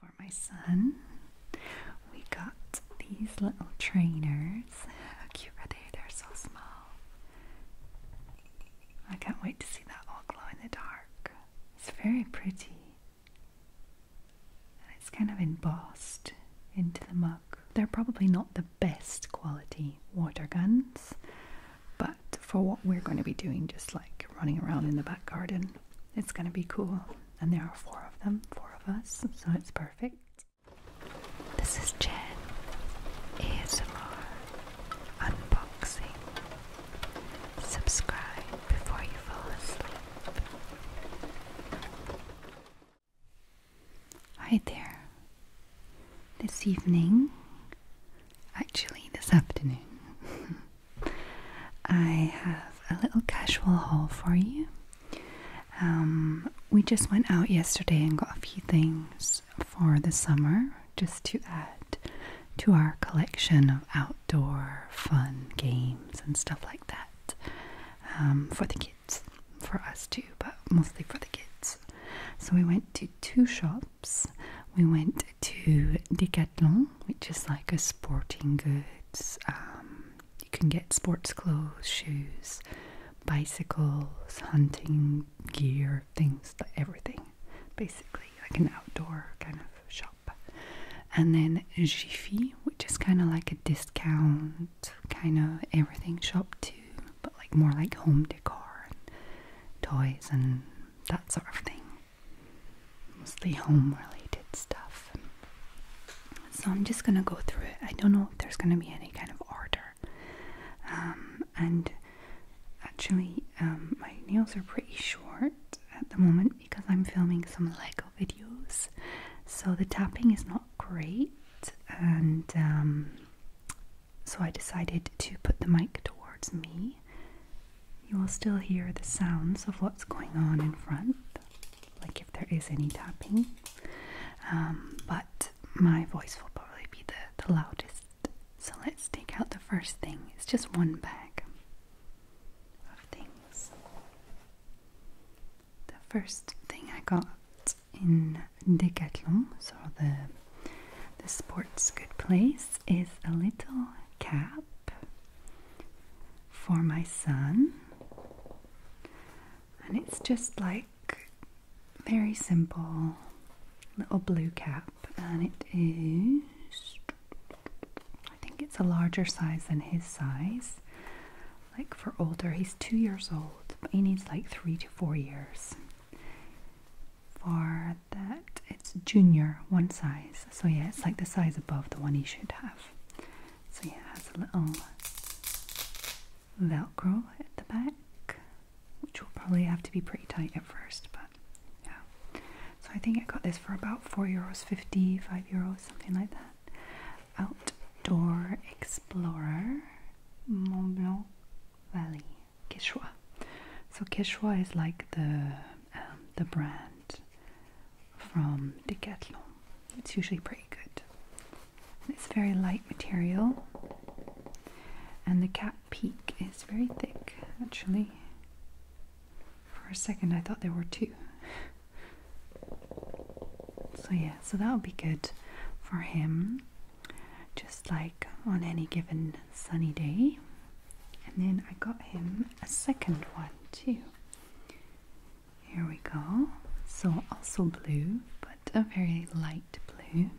For my son, we got these little trainers. How cute are They're so small. I can't wait to see that all glow in the dark. It's very pretty. And it's kind of embossed into the mug. They're probably not the best quality water guns, but for what we're going to be doing, just like running around in the back garden, it's going to be cool and there are four of them, four of us, so it's perfect. This is Jen ASMR Unboxing. Subscribe before you fall asleep. Hi there. This evening, actually, this afternoon. I have a little casual haul for you. Um, we just went out yesterday and got a few things for the summer just to add to our collection of outdoor fun games and stuff like that um, for the kids, for us too, but mostly for the kids. So we went to two shops. We went to Decathlon, which is like a sporting goods um, you can get sports clothes, shoes, bicycles, hunting gear, things, like everything. Basically, like an outdoor kind of shop. And then Jiffy, which is kind of like a discount kind of everything shop too, but like more like home decor and toys and that sort of thing mostly home related stuff. So I'm just gonna go through it. I don't know if there's gonna be any kind of order. Um, and actually, um, my nails are pretty short at the moment because I'm filming some Lego videos, so the tapping is not great. And um, so I decided to put the mic towards me you will still hear the sounds of what's going on in front, like if there is any tapping, um, but my voice will probably be the, the loudest. So let's take out the first thing. It's just one bag of things. The first thing I got in Decathlon, so the the sports good place, is a little cap for my son. And it's just like very simple little blue cap, and it is, I think it's a larger size than his size. Like for older, he's two years old, but he needs like three to four years. For that, it's junior, one size. So, yeah, it's like the size above the one he should have. So yeah, it has a little velcro at the back, which will probably have to be pretty tight at first, but yeah. So I think I got this for about 4 euros fifty five euros, something like that. Outdoor Explorer Mont Blanc Valley, Quechua. So Quechua is like the um, the brand from Decathlon. It's usually pretty good. And it's very light material, and the cap peak is very thick actually. For a second, I thought there were two. So, yeah, so that'll be good for him, just like on any given sunny day. And then I got him a second one too. Here we go. So, also blue, but a very light blue.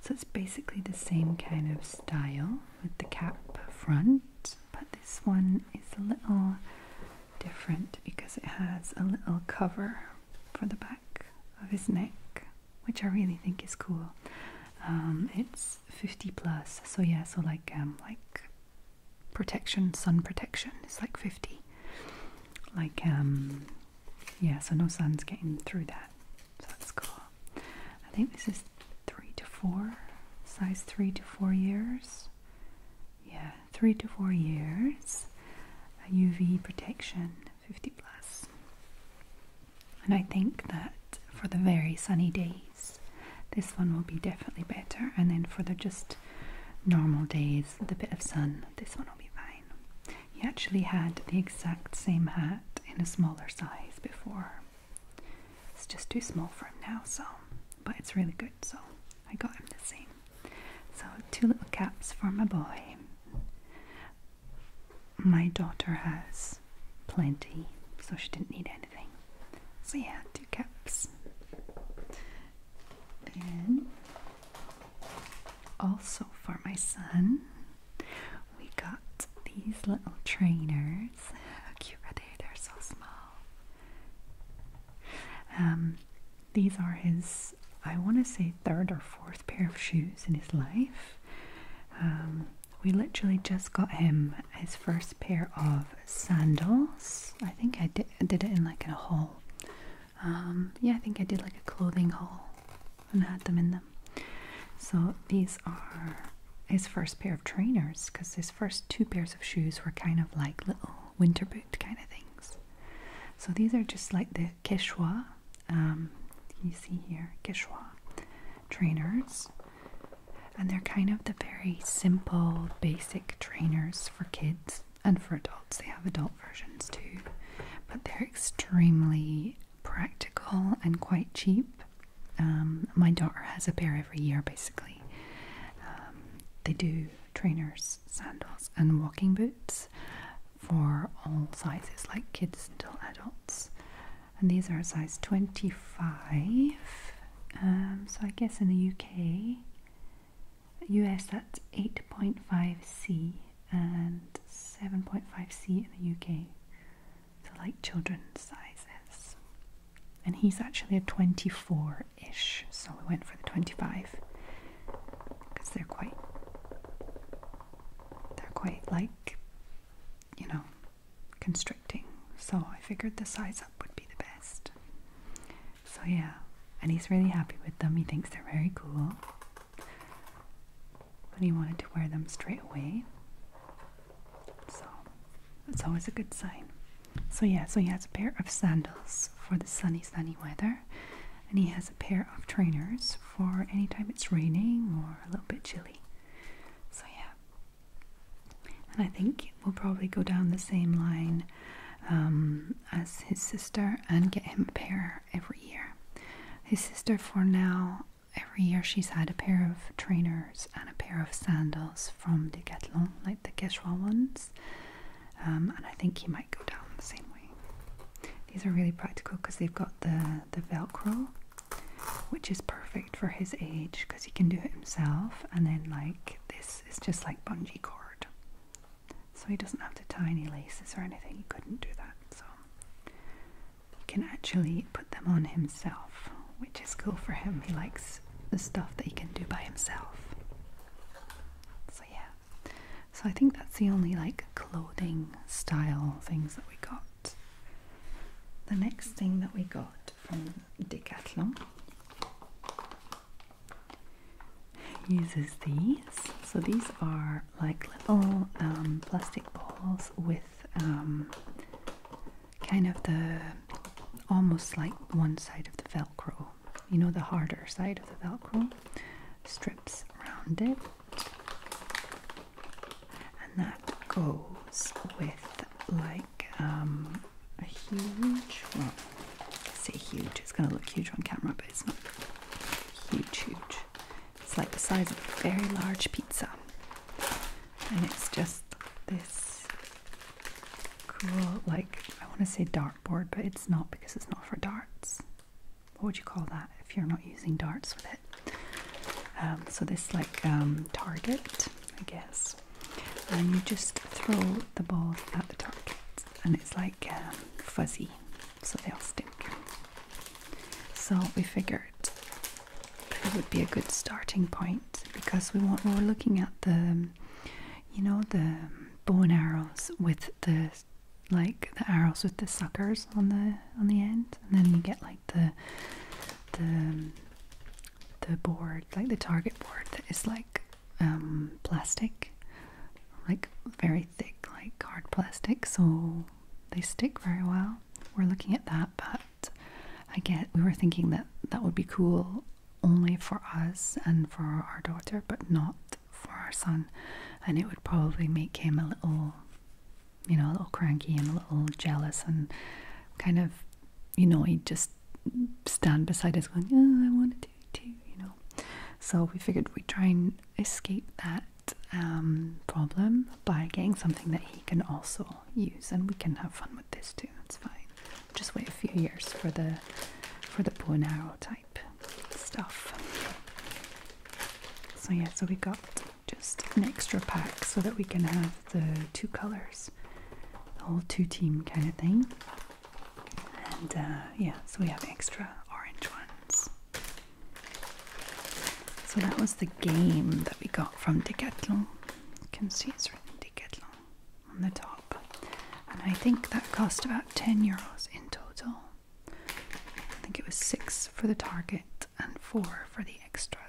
So, it's basically the same kind of style with the cap front, but this one is a little different because it has a little cover for the back of his neck, which I really think is cool. Um, it's 50 plus, so yeah, so like um, like protection, sun protection It's like 50. Like, um, yeah, so no sun's getting through that. So that's cool. I think this is three to four, size three to four years. Yeah, three to four years. UV protection, 50 plus. And I think that for the very sunny day, this one will be definitely better, and then for the just normal days, with a bit of sun, this one will be fine. He actually had the exact same hat in a smaller size before. It's just too small for him now, so but it's really good, so I got him the same. So, two little caps for my boy. My daughter has plenty, so she didn't need anything. So, yeah, two caps also for my son we got these little trainers how cute are they they're so small um, these are his i want to say third or fourth pair of shoes in his life um, we literally just got him his first pair of sandals. I think I did, did it in like a haul. Um, yeah, I think I did like a clothing haul and had them in them. So these are his first pair of trainers because his first two pairs of shoes were kind of like little winter boot kind of things. So these are just like the Quechua, um, you see here, Quechua trainers. And they're kind of the very simple, basic trainers for kids and for adults. They have adult versions too, but they're extremely practical and quite cheap. Um, my daughter has a pair every year basically. Um, they do trainers, sandals, and walking boots for all sizes, like kids until adults. And these are size 25. Um, so I guess in the UK US at 8.5C and 7.5C in the UK. So like children's sizes. And he's actually a 24-ish, so we went for the 25 because they're quite they're quite like you know constricting. So I figured the size up would be the best. So yeah, and he's really happy with them. He thinks they're very cool. But he wanted to wear them straight away. So that's always a good sign. So yeah, so he has a pair of sandals for the sunny, sunny weather. And he has a pair of trainers for any time it's raining or a little bit chilly. So yeah, and I think we'll probably go down the same line um, as his sister and get him a pair every year. His sister, for now, every year she's had a pair of trainers and a pair of sandals from the Decathlon, like the Quechua ones. Um, and I think he might go down the same way. These are really practical because they've got the, the Velcro, which is perfect for his age because he can do it himself. And then, like, this it's just like bungee cord. So he doesn't have to tie any laces or anything. He couldn't do that. So he can actually put them on himself, which is cool for him. He likes the stuff that he can do by himself. So yeah. So I think that's the only like clothing style things that we got. The next thing that we got from Decathlon uses these. So these are like little um, plastic balls with um, kind of the almost like one side of the velcro, you know, the harder side of the velcro strips around it, and that goes with like um, a huge, well, say huge, it's going to look huge on camera, but it's not huge, huge. It's like the size of a very large pizza. And it's just this cool, like, I want to say dartboard, but it's not because it's not for darts. What would you call that if you're not using darts with it? Um, so this like um, target, I guess, and you just throw the ball at the target, and it's like um, fuzzy, so they'll stick. So we figured it would be a good starting point because we want we were looking at the, you know, the bow and arrows with the like the arrows with the suckers on the on the end, and then you get like the the the board, like the target board, that is like um, plastic, like very thick, like hard plastic, so they stick very well. We're looking at that, but I get we were thinking that that would be cool only for us and for our daughter, but not for our son, and it would probably make him a little, you know, a little cranky and a little jealous and kind of, you know, he just stand beside us going, oh, I want to do it too, you know. So we figured we'd try and escape that um, problem by getting something that he can also use, and we can have fun with this too. It's fine. Just wait a few years for the for the boomer arrow type stuff. So yeah, so we got just an extra pack so that we can have the two colors the whole two team kind of thing. And uh, yeah, so we have extra orange ones. So that was the game that we got from De Decathlon. You can see it's written De Decathlon on the top. And I think that cost about 10 euros in total. I think it was six for the target and four for the extra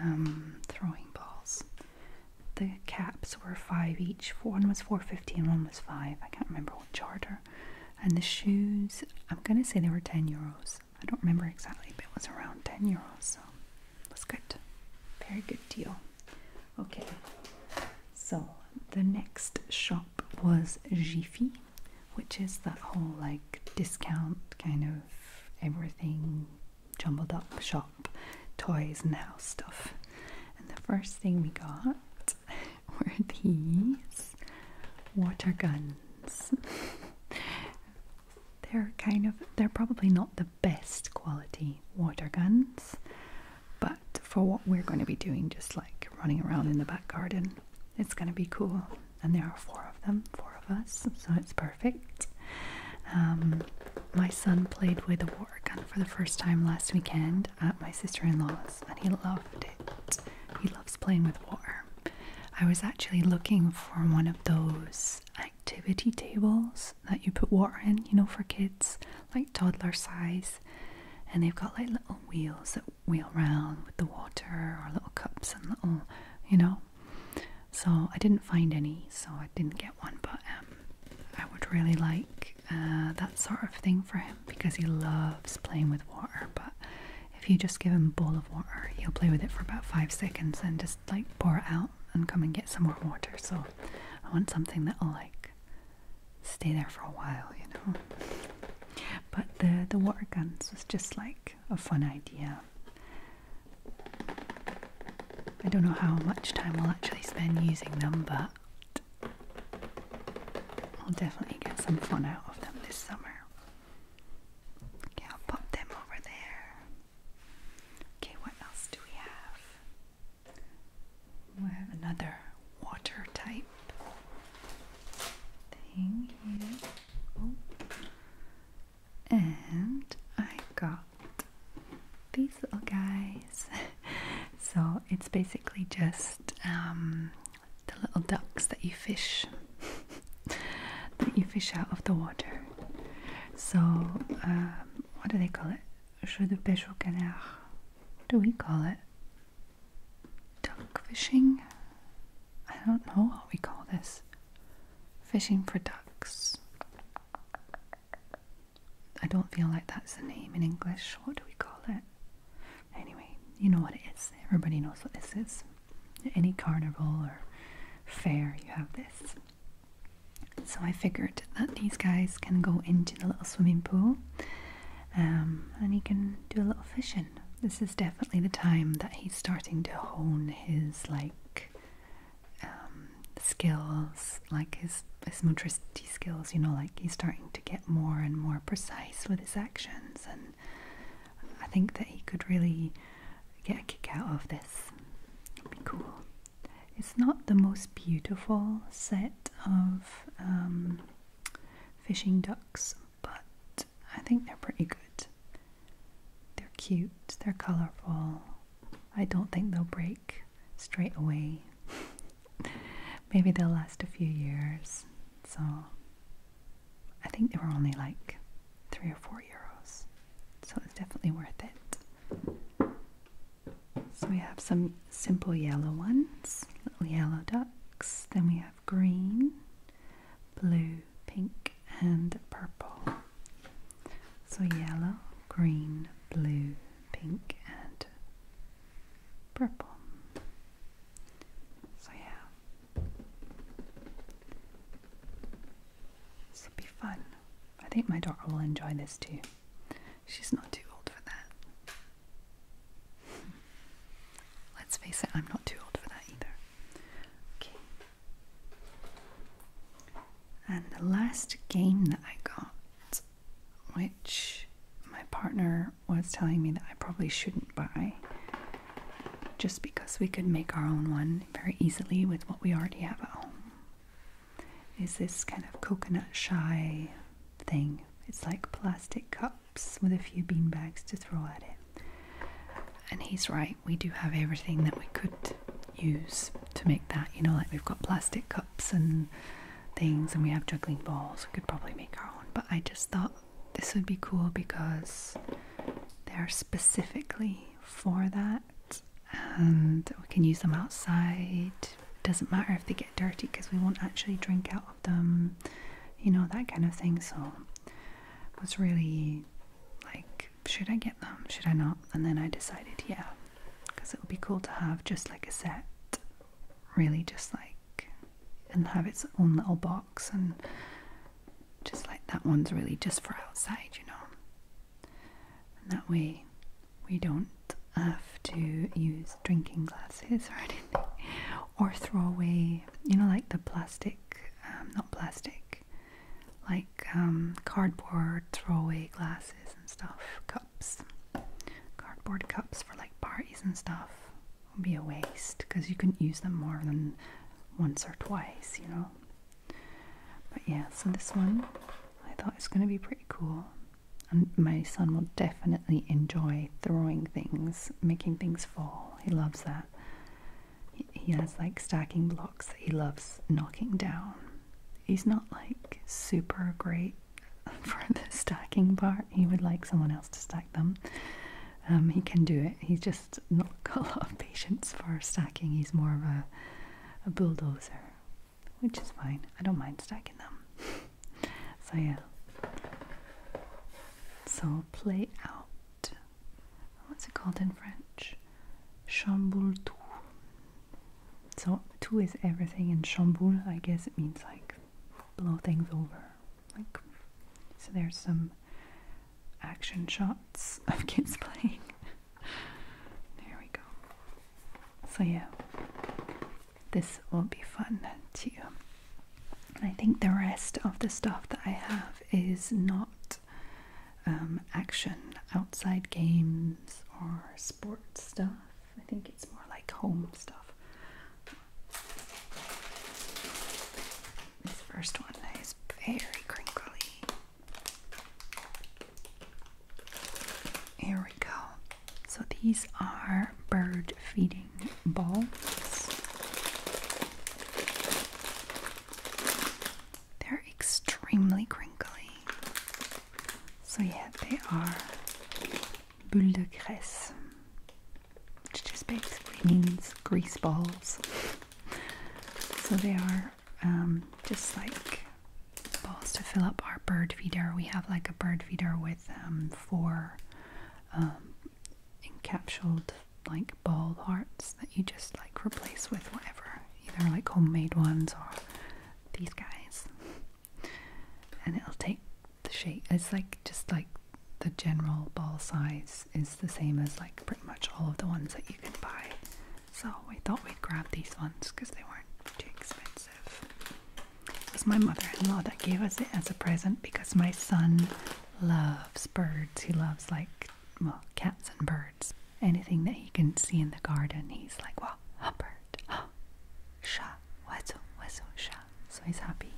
um, throwing balls the caps were five each. One was four fifty and one was five. I can't remember what charter. And the shoes, I'm gonna say they were ten euros. I don't remember exactly, but it was around ten euros, so it was good. Very good deal. Okay. So the next shop was Jiffy, which is that whole like discount kind of everything jumbled up shop Toys and house stuff. And the first thing we got were these water guns. they're kind of they're probably not the best quality water guns, but for what we're going to be doing, just like running around in the back garden, it's going to be cool. And there are four of them, four of us, so it's perfect. Um, my son played with organ for the first time last weekend at my sister-in-law's and he loved it. He loves playing with water. I was actually looking for one of those activity tables that you put water in, you know, for kids, like toddler size. And they've got like little wheels that wheel round with the water or little cups and little, you know. So I didn't find any, so I didn't get one, but um, I would really like uh, that sort of thing for him because he loves playing with water. But if you just give him a bowl of water, he'll play with it for about five seconds and just like pour it out and come and get some more water. So I want something that'll like stay there for a while, you know. But the the water guns was just like a fun idea. I don't know how much time we'll actually spend using them, but but I'll definitely get some fun out of them this summer. Okay, I'll pop them over there. Okay, what else do we have? We have another water type thing here. Oh. And I got these little guys. so it's basically just um, the little ducks that you fish, that you fish out of the water. So um, what do they call it? Jeu de pêche au do we call it? Duck fishing? I don't know what we call this. Fishing for ducks. I don't feel like that's a name in English. What do we call it? Anyway, you know what it is. Everybody knows what this is. any carnival or fair, you have this. So I figured that these guys can go into the little swimming pool um, and he can do a little fishing. This is definitely the time that he's starting to hone his like um, skills, like his, his motricity skills, you know, like he's starting to get more and more precise with his actions. And I think that he could really get a kick out of this. be cool. It's not the most beautiful set of um, fishing ducks, but I think they're pretty good. They're cute, they're colourful. I don't think they'll break straight away. Maybe they'll last a few years. So I think they were only like three or four euros. So it's definitely worth it. So we have some simple yellow ones, little yellow ducks. Then we have green, blue, pink, and purple. So yellow, green, blue, pink and purple. So yeah. This will be fun. I think my daughter will enjoy this too. She's not too old for that. Let's face it, I'm not too old for that either. Okay. And the last game that I got which my partner was telling me that I probably shouldn't buy just because we could make our own one very easily with what we already have at home. Is this kind of coconut shy thing? It's like plastic cups with a few bean bags to throw at it. And he's right, we do have everything that we could use to make that, you know, like we've got plastic cups and things and we have juggling balls. We could probably make our own, but I just thought this would be cool because they're specifically for that and we can use them outside. Doesn't matter if they get dirty because we won't actually drink out of them, you know, that kind of thing. So I was really like, should I get them? Should I not? And then I decided, yeah, because it would be cool to have just like a set, really, just like and have its own little box, and just like that one's really just for outside, you know. And that way, we don't have to use drinking glasses or anything, or throw away, you know, like the plastic, um, not plastic, like um, cardboard throwaway glasses and stuff, cups cardboard cups for like parties and stuff would be a waste because you can use them more than once or twice, you know. But yeah, so this one I thought is going to be pretty cool. And my son will definitely enjoy throwing things, making things fall. He loves that. He, has like stacking blocks he loves knocking down. He's not like super great for the stacking part. He would like someone else to stack them. Um, he can do it. He's just not got a lot of patience for stacking. He's more of a, a bulldozer, which is fine. I don't mind stacking them. so yeah. So play out. What's it called in French? Chamboule tout. So two is everything, and chamboule, I guess it means like blow things over. Like so, there's some action shots of kids playing. there we go. So yeah, this will be fun too. I think the rest of the stuff that I have is not um, action outside games or sports stuff. I think it's more like home stuff. This first one is very crinkly. Here we go. So these are bird feeding balls. They're extremely crinkly. So yeah, they are boules de graisse, which just basically means grease balls. So they are um, just like balls to fill up our bird feeder. We have like a bird feeder with um, four um, encapsulated like ball hearts that you just like replace with whatever, either like homemade ones or these guys and it'll take the shape. It's like just like the general ball size is the same as like pretty much all of the ones that you can buy. So we thought we'd grab these ones because they weren't too expensive. It was my mother-in-law that gave us it as a present because my son loves birds. He loves like well cats and birds. Anything that he can see in the garden, he's like, well, a bird heart. Sha, wazo, wazo, sha. So he's happy.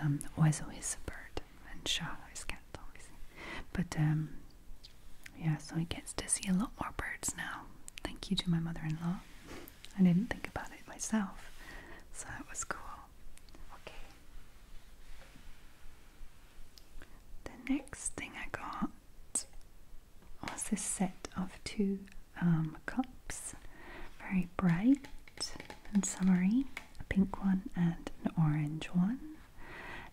Um, wazo is a bird, and sha is cat, obviously. But um, yeah, so he gets to see a lot more birds now. Thank you to my mother-in-law. I didn't think about it myself, so that was cool. Okay. The next thing I got was this set of two um, cups, very bright and summery, a pink one and an orange one.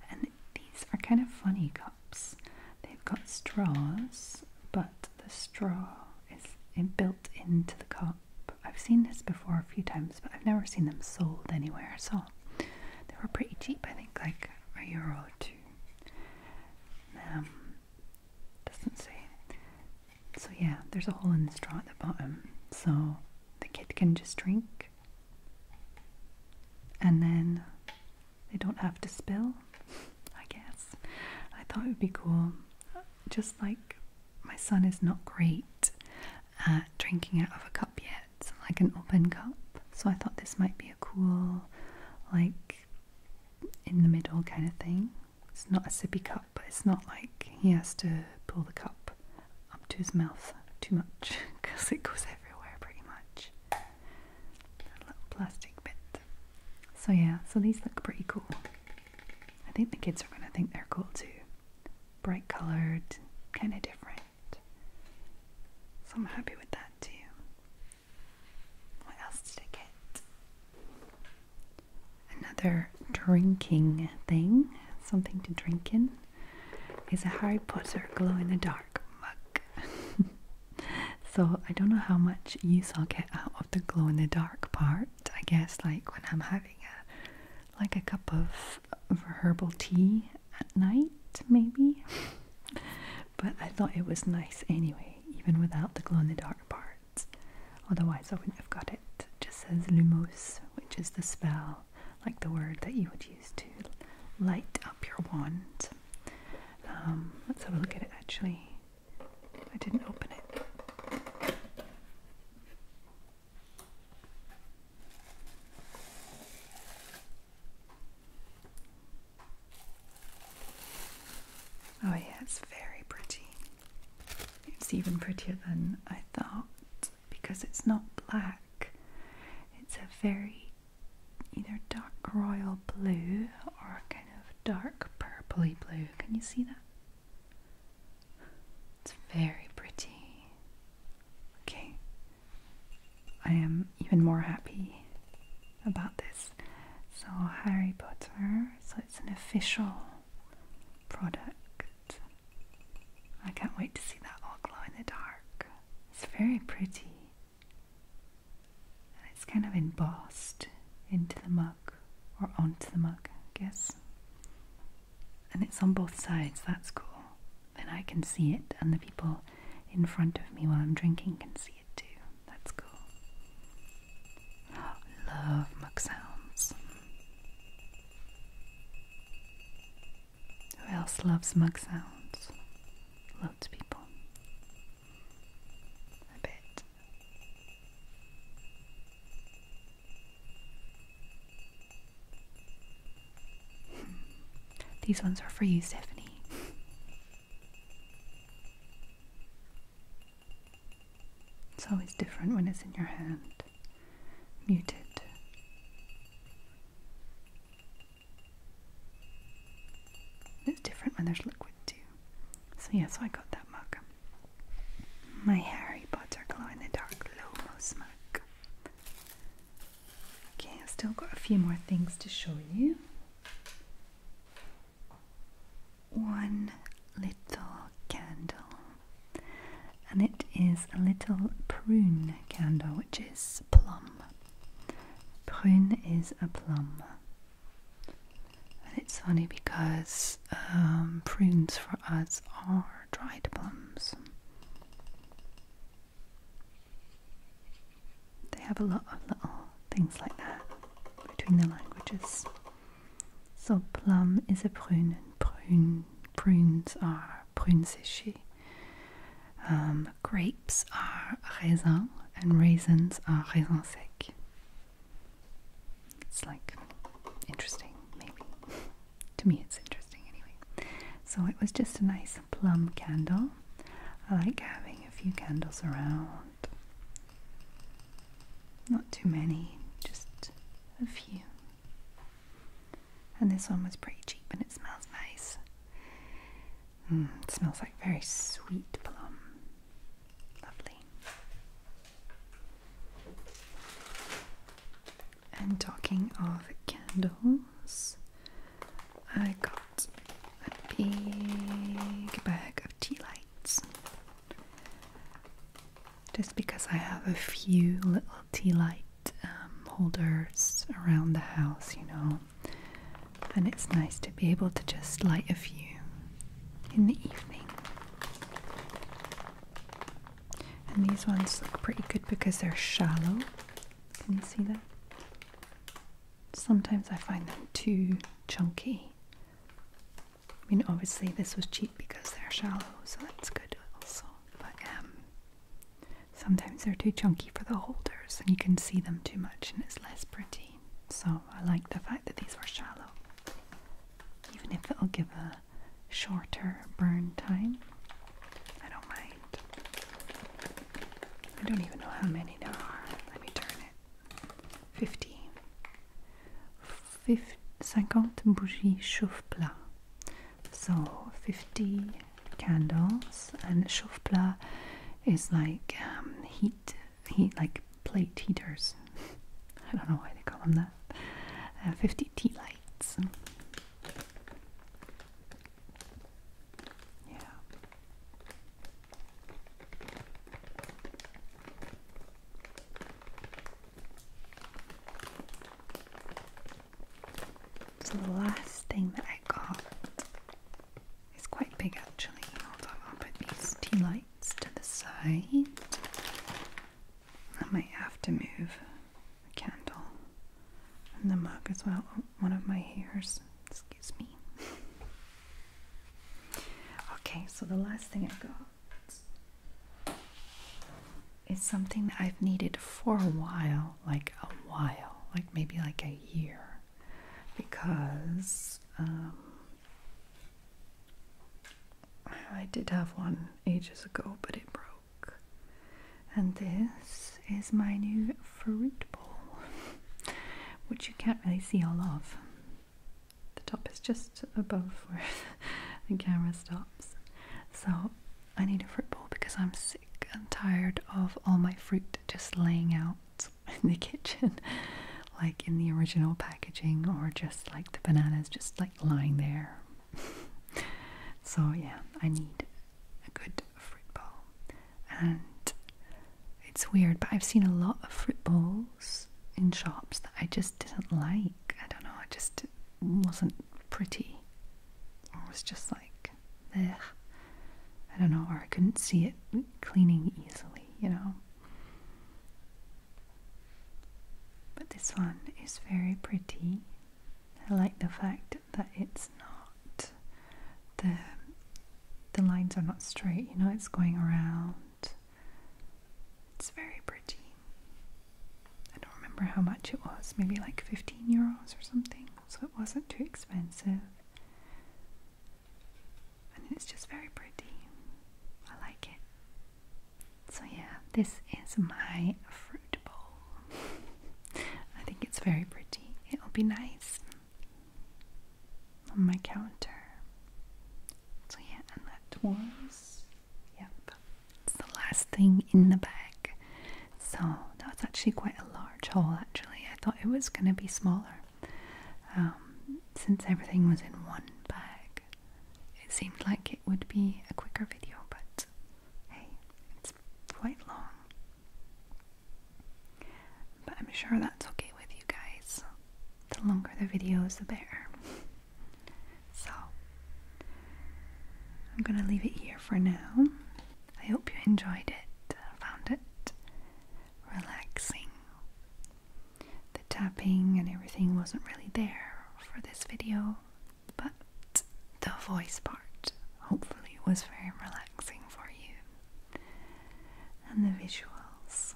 And these are kind of funny cups. They've got straws, but the straw is built into the cup. I've seen this before a few times, but I've never seen them sold anywhere. So they were pretty cheap, I think like a euro or two. Um, doesn't say. So yeah, there's a hole in the straw at the bottom, so the kid can just drink, and then they don't have to spill. I guess I thought it would be cool. Just like my son is not great at drinking out of a cup yet, like an open cup. So I thought this might be a cool, like in the middle kind of thing. It's not a sippy cup, but it's not like he has to pull the cup up to his mouth too much because it goes everywhere pretty much. That little plastic bit. So, yeah, so these look pretty cool. I think the kids are going to think they're cool too. Bright coloured, kind of different. So, I'm happy with that too. What else did I get? Another drinking thing, something to drink in, is a Harry Potter glow in the dark mug. so I don't know how much use I'll get out of the glow in the dark part. I guess like when I'm having a like a cup of, of herbal tea at night, maybe. but I thought it was nice anyway even without the glow-in-the-dark part, Otherwise I wouldn't have got it. It just says lumos, which is the spell, like the word that you would use to light up your wand. Um, let's have a look at it actually. I didn't open it. Oh, yeah, it's very pretty. It's even prettier than I thought because it's not black, it's a very either dark royal blue or a kind of dark purpley blue. Can you see that? It's very pretty. Okay, I am even more happy about this. So Harry Potter, so it's an official product. I can't wait to see that all glow in the dark. It's very pretty. And it's kind of embossed into the mug or onto the mug, I guess. And it's on both sides, that's cool. Then I can see it, and the people in front of me while I'm drinking can see it too. That's cool. love mug sounds. Who else loves mug sounds? Loads of people. I bet. Hmm. These ones are for you, Stephanie. It's always different when it's in your hand. Muted. It's different when there's liquid too. So yeah, so I got that mug. My Harry Potter glow in the dark Lomos mug. Okay, I've still got a few more things to show you one little candle, and it is a little prune candle, which is plum. Prune is a plum. And it's funny because um, prunes for us are dried plums. They have a lot of little things like that between the languages. So plum is a prune and prune, prunes are prunsishi. Um, grapes are raisin and raisins are raisin sec. It's like interesting, maybe. to me, it's interesting anyway. So it was just a nice plum candle. I like having a few candles around not too many, just a few. And this one was pretty cheap and it smells nice. Mm, it smells like very sweet plum. Lovely. And talking of candles, I got a big bag of tea lights. Just because I have a few little tea light um, holders around the house, you know, and it's nice to be able to just light a few in the evening. And these ones look pretty good because they're shallow. Can you see that? Sometimes I find them too chunky. I mean, obviously this was cheap because they're shallow, so that's good also. But um, sometimes they're too chunky for the holders, and you can see them too much, and it's less pretty. So I like the fact that these were shallow, even if it'll give a shorter burn time. I don't mind. I don't even know how many there are. Let me turn it. 50. 50 bougies chauffe-plat. So 50 candles and chauffe-plat is like um, heat, heat like plate heaters. I don't know why they call them that. Uh, 50 tea lights. Yeah. So the last thing that I got is quite big actually. Hold on, I'll put these tea lights to the side. I might have to move the candle and the mug as well. Oh, one of my hairs, excuse me. Okay, so the last thing I got is something that I've needed for a while, like a while, like maybe like a year, because um, I did have one ages ago, but it broke. And this is my new fruit bowl, which you can't really see all of the top is just above where the camera stops. So I need a fruit bowl because I'm sick and tired of all my fruit just laying out in the kitchen, like in the original packaging, or just like the bananas just like lying there. so, yeah, I need a good fruit bowl. And it's weird, but I've seen a lot of fruit balls in shops that I just didn't like. I don't know, I just wasn't pretty. Or was just like, Egh. I don't know, or I couldn't see it cleaning easily, you know. But this one is very pretty. I like the fact that it's not the the lines are not straight, you know, it's going around it's very pretty. I don't remember how much it was, maybe like 15 euros or something, so it wasn't too expensive. And it's just very pretty. I like it. So, yeah, this is my fruit bowl. I think it's very pretty. It'll be nice on my counter. So, yeah, and that was, yep, it's the last thing in the bag. So, that was actually quite a large haul, actually. I thought it was going to be smaller. Um, since everything was in one bag, it seemed like it would be a quicker video, but hey, it's quite long. But I'm sure that's okay with you guys the longer the video is, the better. So, I'm gonna leave it here for now. I hope you enjoyed it, uh, found it relaxing. The tapping and everything wasn't really there for this video, but the voice part hopefully was very relaxing for you. And the visuals.